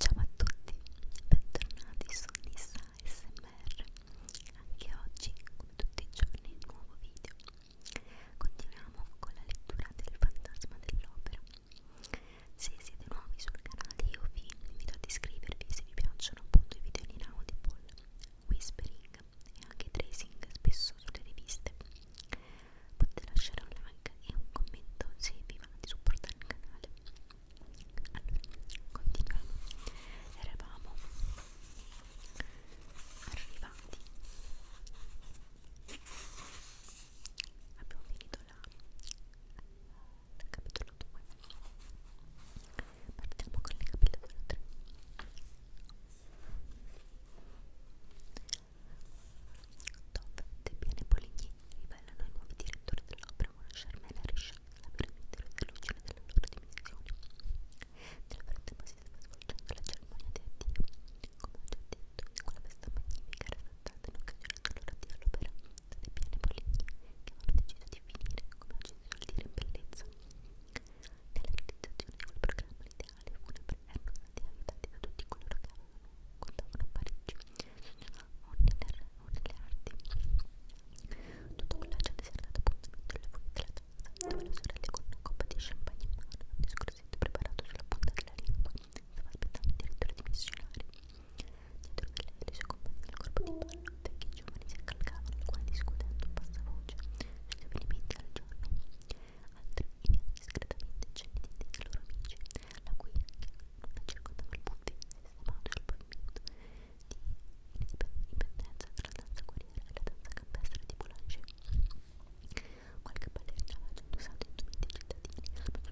Ciao a tutti, bentornati su Nissa SMR. Anche oggi, come tutti i giorni, nuovo video. Continuiamo con la lettura del Fantasma dell'Opera se siete nuovi sul canale io vi invito ad iscrivervi se vi piacciono appunto i video in Audible, Whispering e anche Tracing spesso sulle riviste. Potete lasciare un like e un commento se vi va di supportare il canale. Allora, continuiamo. Eravamo arrivati. Abbiamo finito la dal capitolo 2 partiamo con il capitolo 3 dove Debian e Poligny rivelano i nuovi direttori dell'opera Mona Charmel e Richard la piramide dell'origine della loro dimensione nel frattempo si stava svolgendo la cerimonia di addio come ho già detto quella festa magnifica era stata in occasione dell'ora di all'opera state piene poligni che avevano deciso di finire, come oggi si suol dire, in bellezza. Nella realizzazione di quel programma l'ideale funebre erano stati aiutati da tutti coloro che avevano, contavano a Parigi, o nelle, o nelle arti. Tutto quell'accia si era dato appuntamento alle furie della tazza, dove le sorelle con una coppa di champagne in mano, un discorsetto preparato sulla punta della lingua, stava aspettando addirittura di missionari. Dietro che lei e i suoi compagni del corpo di ballo, vecchi giovani si accalcavano, alcuni discutendo a bassa voce sugli avvenimenti del giorno, altri iniziano discretamente cenni di dei loro amici, la cui non circondava il punto di sistemato sul pavimento di indipendenza tra la danza guerriera e la danza campestre di Boulanger. Qualche ballerina aveva già indossato indumenti cittadini, ma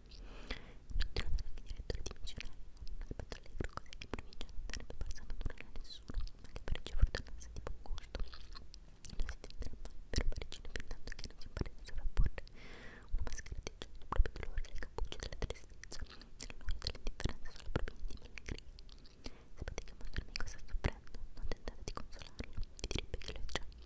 Non te lo darò chi direttore di missionario, un aspetto allegro così di provincia non sarebbe parsa naturale a nessuno, ma che parecchia fortunanza di buon gusto. Non si tenterà mai per parigino fin tanto che non si impara a sovrapporre una maschera di gioco del proprio dolore, le cappucce della tristezza, dell'annoia, dell'indifferenza sulla propria intima allegria. Sapete che un vostro amico sta soffrendo, non tentate di consolarlo, vi direbbe che lo è già.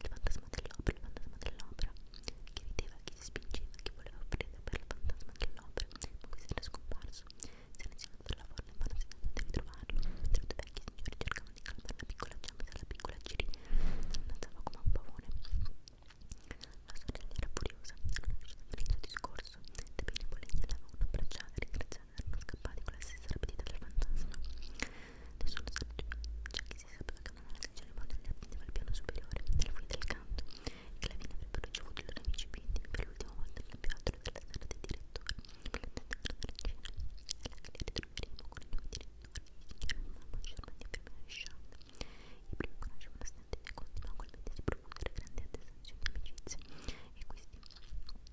il fantasma dell'opera, il fantasma dell'opera, chi rideva, chi si spingeva, chi voleva offrire per il fantasma dell'opera, ma questo era scomparso, si era insieme dalla forna in vano tentando di ritrovarlo, mentre due vecchi signori cercavano di calmare la piccola Giamma la piccola Ciri, danzava come un pavone. La sorella era furiosa, non riusciva a finire il discorso, De Bene Bolegna l'avevano abbracciata e ringraziata erano scappati con la stessa rapidità del fantasma. Nessuno sapeva, c'è cioè chi si sapeva che una nave celebrata li attendeva al piano superiore, nella fuga del canto, e che la fine avrebbero ricevuto i loro amici intimi per l'ultima volta nella piazza della sala del direttore, l'attendevano dalla cena, e che li ritroveremo con i nuovi direttori, i signori Mamma, Germania e Fermina Scianda. I primi conoscevano stante e continuavano ugualmente a riproporre grandi attestazioni di amicizia, e questi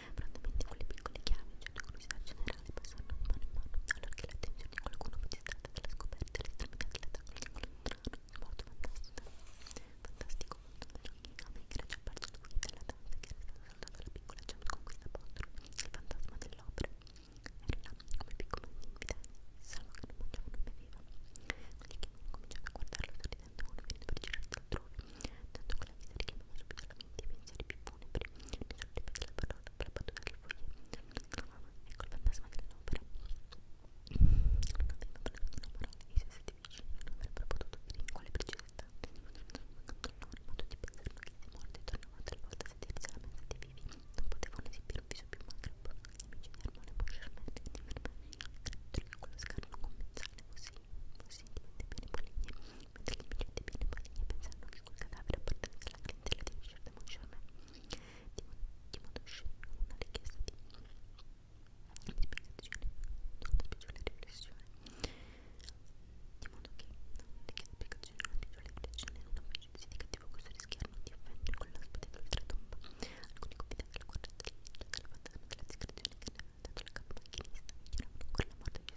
Prontamente con le piccole chiavi, cioè la curiosità generale, passano di mano in mano, allora che l'attenzione di qualcuno fu distata dalla scoperta all'estremità dell'attacco di quello strano, svolto fantastico, fantastico, molto veloce, a me che era già apparso lui dalla danza che era stata saltata la piccola James con questa apostolo, il fantasma dell'opera, era là, come piccolo invitato, salvo che non mangiava, non beveva, quelli che cominciava a guardarlo sorridendo uno finito per girarsi altrove, tanto con la vita richiamava subito alla mente i pensieri più funebri. Nessuno dei pezzi della parola aggrappato dalle foglie. Ecco il fantasma dell'opera. Non aveva parlato una parola, i suoi sette vicini non avrebbero potuto dire in quale precisità. Accanto a loro, ma tutti pensarono che se morti tornavano tre volte a sedersi alla mensa dei vivi, non potevano esibire un viso più macabro. Gli amici di Armone Busherman ritenevano che quello scarno commensale fosse possibilmente bene maligne, mentre gli amicette bene maligne pensando che quel cadavere appartenesse alla clientela di Richard de Moncharmin di modo scendo una richiesta di spiegazione, non una piccola riflessione di modo che non richiede spiegazione, una piccola riflessione una amicizia di cattivo gusto rischiarono di offendere con l'ospite d'oltretomba alcuni confidenti della guardia della fantasma della discrezione che ne aveva dato la capo macchinista ignoravano ancora la morte di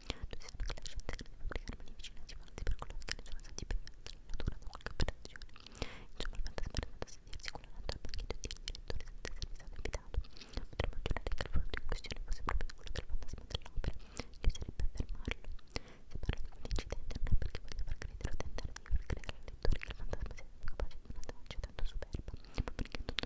Due sono che lasciate che le fabbriche armonificine si fanno tubercolosi che ne sono stati privati dalla natura da qualche operazione. Insomma, il fantasma è andato a sedersi quella notte al banchetto di direttore senza essermi stato invitato. Potremmo giurare che il frutto in questione fosse proprio quello del fantasma dell'opera, che sarebbe a fermarlo. Se parlo di quell'incidente non è perché voglio far credere o tentare di far credere al lettore che il fantasma sia stato capace di una traccia tanto superba, ma perché tutto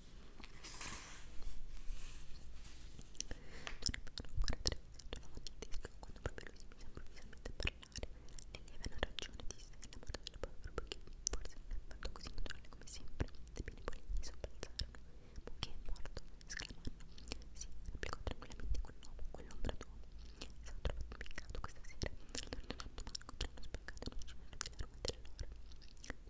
quando proprio lui mi sembra ufficialmente parlare Lily aveva ragione, disse, innamorata della povera Bucchi forse non è così naturale come sempre sebbene i polini sobbalzarono Bucchi morto, esclamano sì, replicò tranquillamente quell'uomo, quell'ombra d'uomo sono trovato impiccato questa sera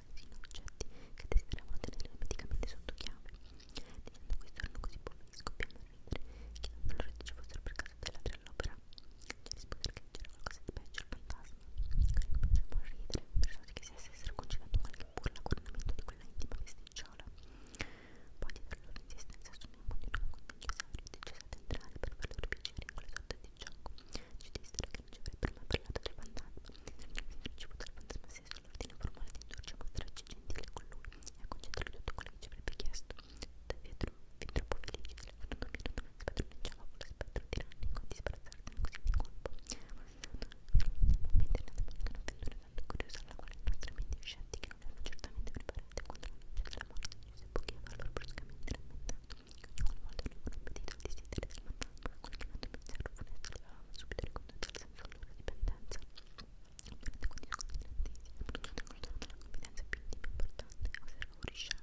persino oggetti che desideravano tenere medicamente sotto chiave. Dicendo questo erano così poveri che scoppiamo a ridere, chiedendo loro se ci fossero per caso dei ladri all'opera. Ci rispose che c'era qualcosa di peggio, il fantasma. Cominciamo a ridere, persuasi che si stessero concedendo qualche burla coronamento di quella intima vesticciola. Poi dietro la loro insistenza assumemmo di nuovo un dinosaurio deciso ad entrare per far loro piacere in quelle sorte di gioco. Ci dissero che non ci avrebbero mai parlato del fantasma ricevuto dal fantasma sull'ordine formale di indurci a mostrarci gentile con lui e a concedere tutto quello che ci avrebbe chiesto. Davvero, fin troppo felice dell'autonomia, non spadroneggiava con lo spettro tirannico di sbarazzarne così di colpo. Mentre andavamo ad un'avventura tanto curiosa alla quale i nostri amici uscenti, che non erano certamente preparati contro la luce della morte, ci si bucheva loro bruscamente rammentando che ogni volta avevano appetito al desiderio del fantasma, qualche altro pensiero funesto subito ricondotta al senso della loro dipendenza. Ovviamente condizioni grandissime, ma non controllano la competenza più intima importante, ossia il favorisce,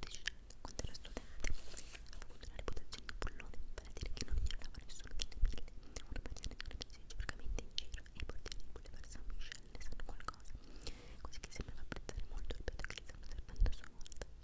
decidendo quando era studente. Ha avuto una reputazione di bullone, vale a dire che non ignorava nessuno delle mille, una maniera di organizzare cercamente in giro e i portieri di Boulevard San Michel ne sanno qualcosa, così che sembrava apprezzare molto il pedocrista una serpente a sua volta.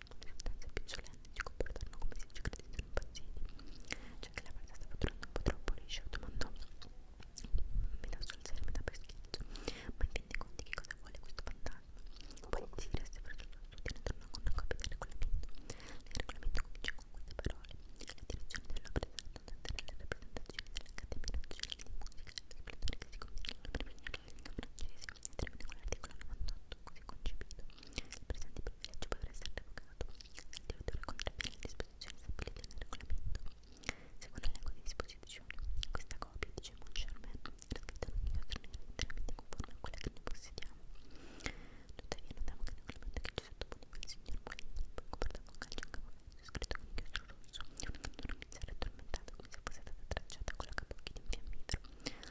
dando un'evidenza picciolente di comportarlo come si dice che si sono impazziti. Cioè che la parte stava durando un po' troppo liscia, domandò. Mi lascio alzare metà per schizzo. Ma intendi conti che cosa vuole questo fantasma? Poi si resta verso il sud e ne torna con una copia del regolamento. Il regolamento comincia con queste parole. La direzione della presa attendere le rappresentazioni dell'Accademia Nazionale di Musica e del Splendore che si conviene alla prima francese termine con l'articolo 98 così concepito il presente privilegio potrà essere revocato se il direttore contravviene le disposizioni stabilite nel regolamento secondo l'elenco di disposizioni questa copia dice Moncharmin era scritta in un'unica straniera interamente conforme a quella che noi possediamo tuttavia notiamo che il regolamento che ci sottoponeva il signor Molini poi coperto con calcio un capoverso scritto con inchiostro rosso un mizzare addormentato come se fosse stata tracciata con la capocchia di un fiammifero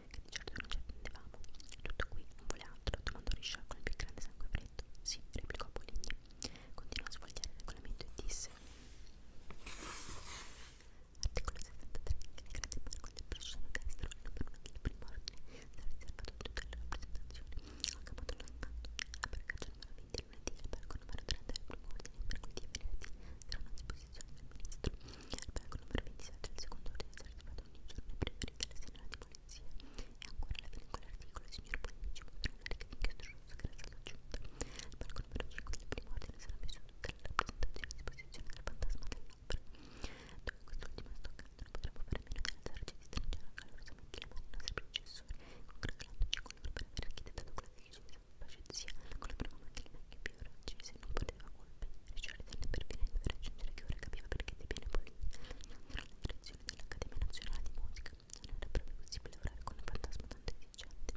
che di certo non ci attendevamo. Tutto qui, non vuole altro, domandò Richard con il più grande sangue freddo. Sì, replicò Poligny. Continuò a sfogliare il regolamento e disse: Articolo 73. Le grandi parco del bracciano destro, il numero 1 del primo ordine, sarà riservato a tutte le rappresentazioni. Ho caputo l'antanto. La barcaccia numero 20 lunedì, il parco numero 30 del primo ordine, mercoledì e venerdì saranno a disposizione del ministro. Il banco numero 27 del secondo ordine è attivato ogni giorno e preferite la sera di polizia. E ancora la fine quell'articolo, il signor Polinici potrà una ricca di inchiostro rosso grazie all'aggiunta. Il banco numero 5 del primo ordine sarà messo tutta la rappresentazione a disposizione del fantasma dell'opera. Dopo quest'ultima stoccata non potremo fare meno di alzarci e di stringere calorosamente le mani ai nostri predecessori, congratulandoci con loro per aver architettato quella che facezia con la prima macchina che più raggi se non poteva colpire Richardson per finendo per raggiungere che ora capiva perché Debian Polini era nella direzione dell'Accademia Nazionale di Musica non era proprio possibile lavorare con un fantasma tanto esigente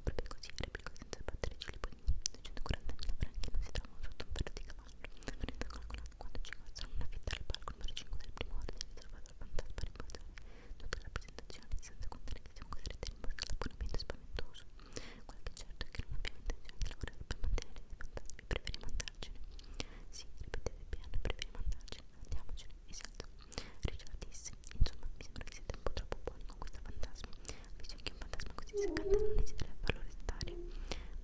proprio così replicò senza battere gli pugni 240.000 franchi non si trovano sotto un ferro di cavallo non è calcolato quando ci costano una fitta al palco numero 5 del primo ordine riservato al fantasma rimbalzare tutta la presentazione senza contare che siamo costretti a rimbalzare l'abbonamento spaventoso quello che è certo è che non abbiamo intenzione di lavorare per mantenere i fantasmi preferiamo andarcene. Sì, ripetete piano, preferiamo andarcene. Andiamocene, esatto. Richard disse, insomma, mi sembra che siete un po' troppo buoni con questo fantasma. Dice che un fantasma così seccante non esiterebbe a farlo restare.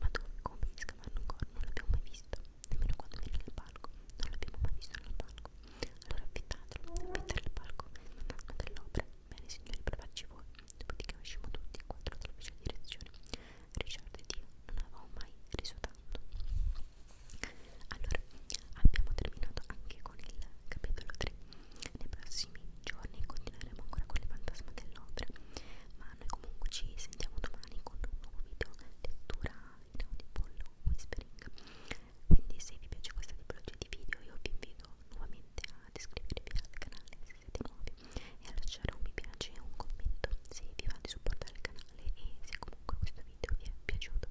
Ma dove, come, di scavarne un corno, non l'abbiamo mai visto. Nemmeno quando viene nel palco, non l'abbiamo mai visto nel palco. Allora affittatelo, affittare il palco, il fantasma dell'opera. Bene signori, provateci voi dopodiché uscimmo tutti e quattro dalla fece direzione. Richard ed io non avevamo mai riso tanto. Allora, abbiamo terminato anche con il capitolo 3. Nei prossimi giorni continueremo ancora con il fantasma dell'opera, ma noi comunque ci sentiamo domani con un nuovo video lettura in audible whispering. Quindi se vi piace questa tipologia di video io vi invito nuovamente ad iscrivervi al canale se se siete nuovi e a lasciare un mi piace e un commento se vi va di supportare il canale e se comunque questo video vi è piaciuto.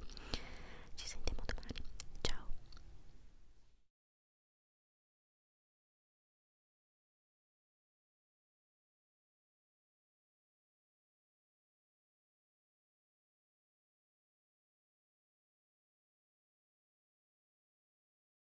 Ci sentiamo domani, ciao!